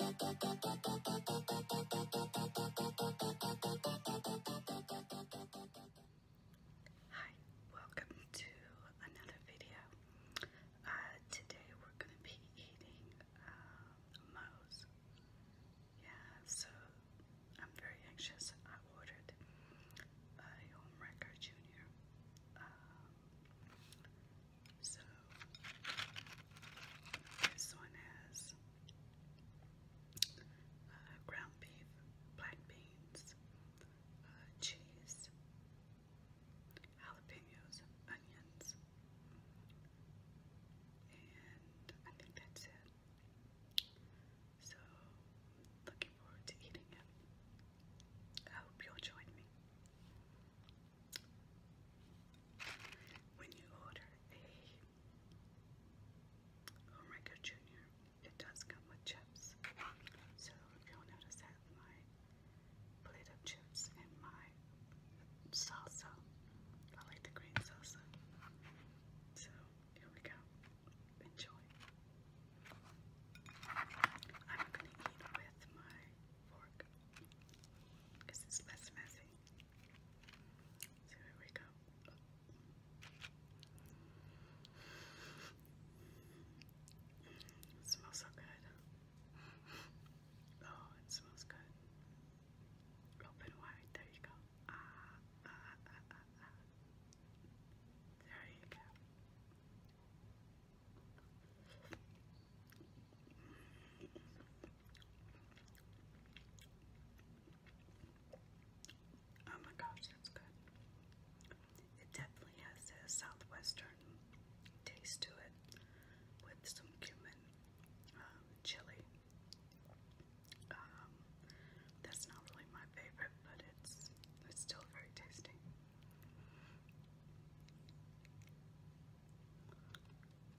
Hi, welcome to another video. Uh, today we're going to be eating uh, Moe's. Yeah, so I'm very anxious. I ordered a home record junior. Uh, so this one has uh, ground beef, black beans, uh, cheese, jalapenos, onions, and I think that's it. So looking forward to eating it. I hope you'll join me. When you order a Homewrecker oh Junior, it does come with chips. So you'll notice that my plate of chips and my salsa. I like the green salsa. So here we go. Enjoy. I'm gonna eat with my fork because it's less messy. So here we go. It smells so good. Oh, it smells good. Open wide. There you go. Ah, ah, ah, ah, ah. There you go. Oh my gosh, that's good. It definitely has a southwestern taste to it with some cumin um, chili. Um, that's not really my favorite, but it's it's still very tasty.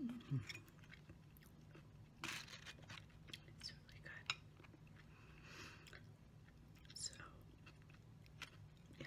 Mm. It's really good. So, yeah.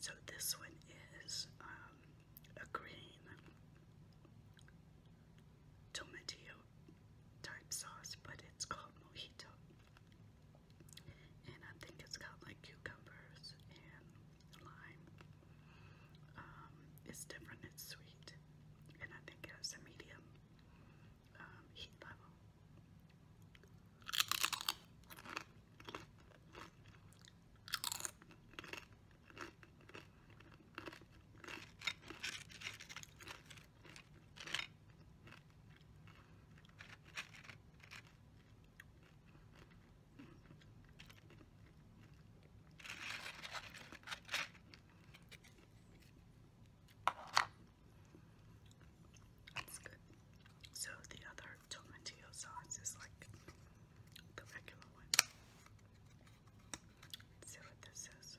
So this one is um, a green tomato type sauce, but it's called mojito. And I think it's got like cucumbers and lime. it's different, it's sweet, and I think it has a medium um, heat level. So the other tomatillo sauce is like the regular one. see what this is.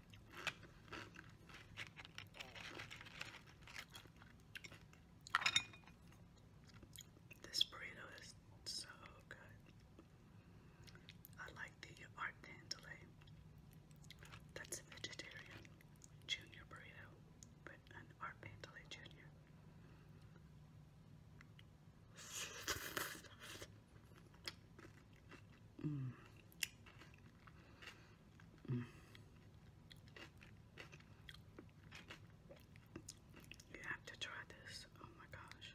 This burrito is so good. I like the art tantalay. That's a vegetarian junior burrito, but an art tantalay junior. Mm. You have to try this. Oh my gosh.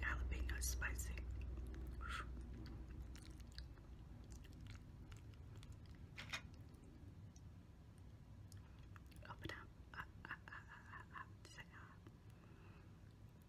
Jalapeno spicy. Open up. up, up, up, up, up, up.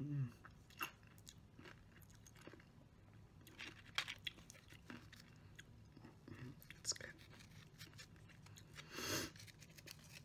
Mm. It's good.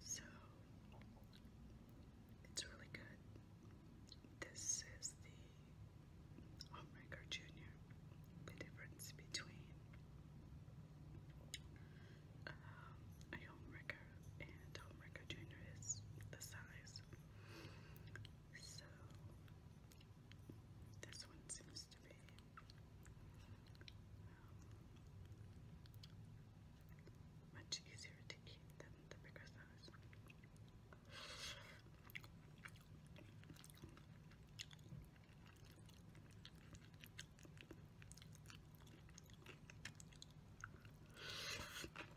So it's really good. This is the Homemaker Junior. The difference between um, a Homemaker and Homemaker Junior is the size. So, this one seems to be um, much easier to eat than the bigger size.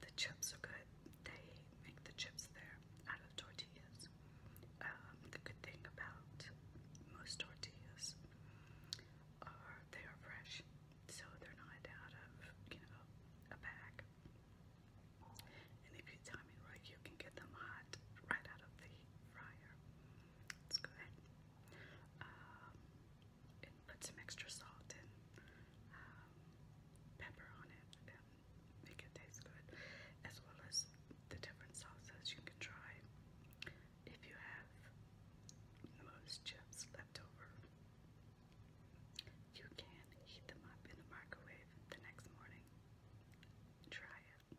The chips are good. They make the chips there out of tortillas. Um, the good thing about most tortillas are they are fresh so they're not out of, you know, a bag. And if you time it right, you can get them hot right out of the fryer. It's good. Um, put some extra salt and um, pepper on it and make it taste good, as well as the different sauces you can try. If you have most chips left over, you can heat them up in the microwave the next morning. Try it.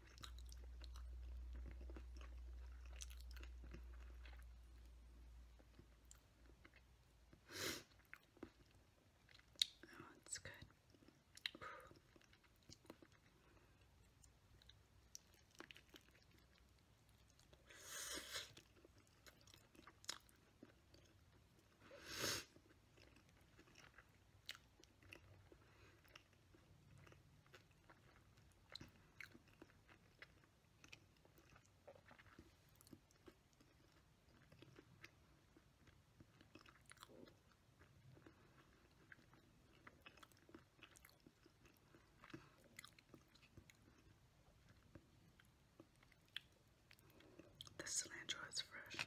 Oh, it's good. The cilantro is fresh.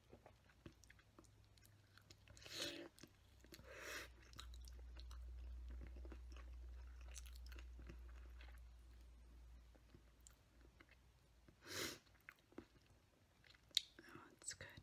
Oh, it's good.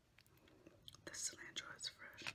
The cilantro is fresh.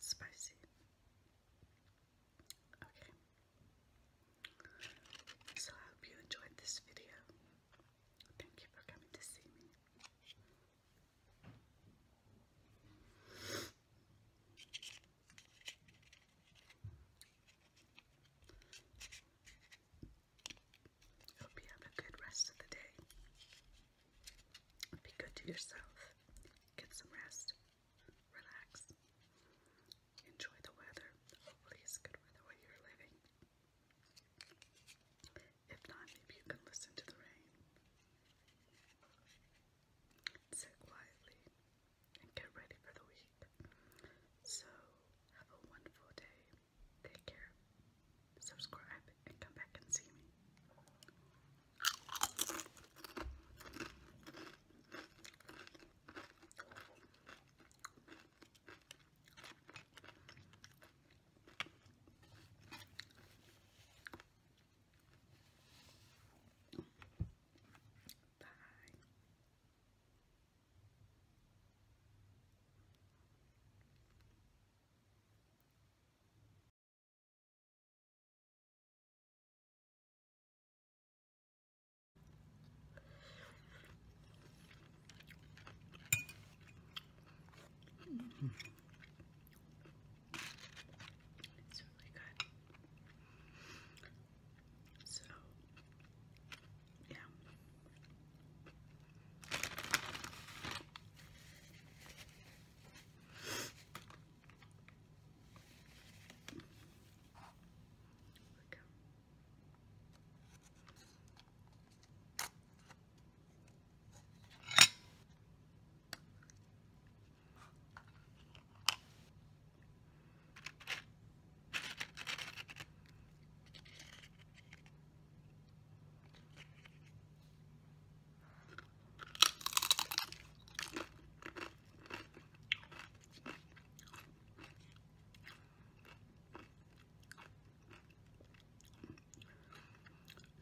spicy. Okay. So I hope you enjoyed this video. Thank you for coming to see me. Hope you have a good rest of the day. Be good to yourself. Get some rest. Relax. Enjoy the weather. Hopefully it's good weather where you're living. If not, you can listen to the rain. Sit quietly and get ready for the week. So, have a wonderful day. Take care. Subscribe and come back and see me. Bye. Mm -hmm. It's really good. So yeah. There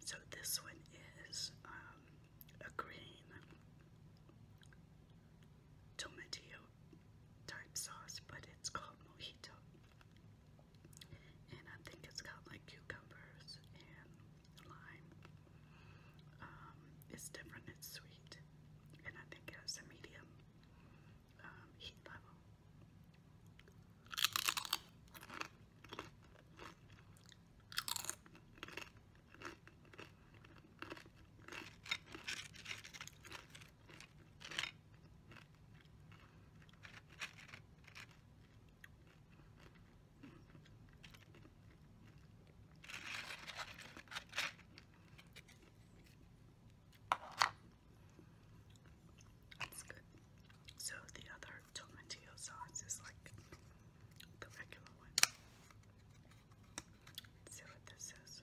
so this one is um, a green tomatillo type sauce, but it's called mojito. And I think it's got like cucumbers and lime. Um, it's different, it's sweet. And I think it has a medium um, heat level. It's good. So the other tomatillo sauce is like the regular one. see what this is.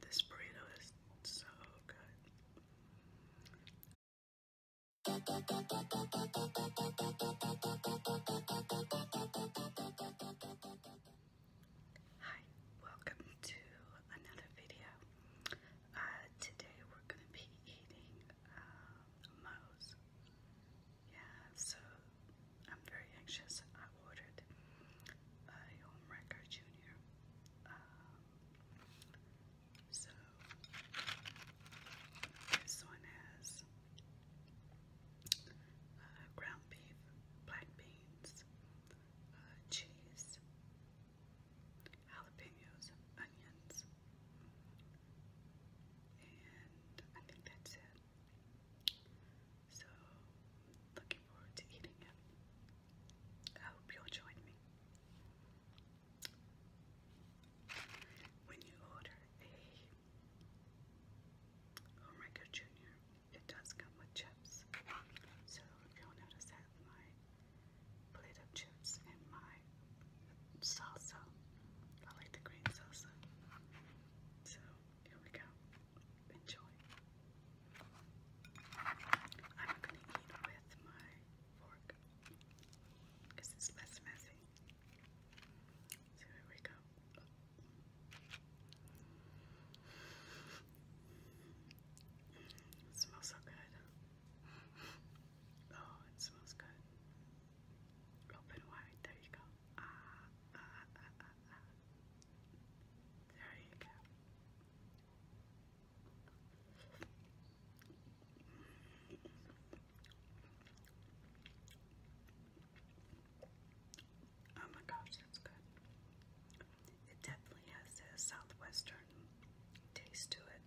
This burrito is so good. Hi, welcome to another video. Uh, today we're going to be eating uh, Yeah, so I'm very anxious. I ordered a Homewrecker Junior. Um, so this one has uh, ground beef, black beans cheese, jalapenos, onions, and I think that's it. So, looking forward to eating it. I hope you'll join me. When you order a Omega Junior it does come with chips. So if you'll notice that my plate of chips and my salsa, I like the green salsa. So here we go. Enjoy. I'm going to eat with my fork because it's less messy. So here we go. It smells so good. Oh, it smells good. Open wide. There you go. Ah, ah, ah, ah, ah. There you go. Oh my gosh, that's good. It definitely has a southwestern taste to it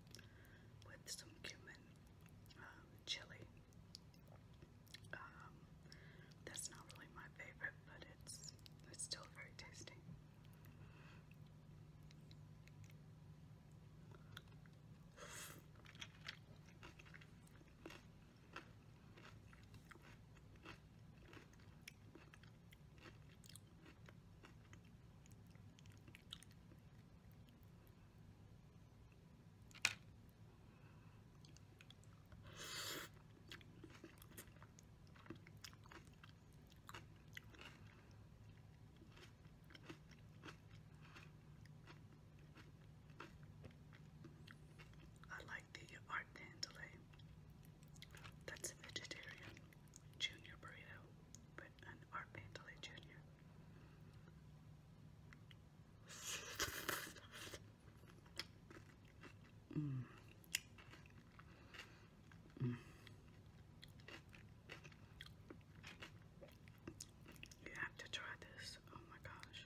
with some cumin um, chili. Um, that's not really my favorite, but it's it's still very tasty. I like the art pantelay. Eh? That's vegetarian. Jr. burrito with an Art Pantley Jr. You have to try this. Oh my gosh.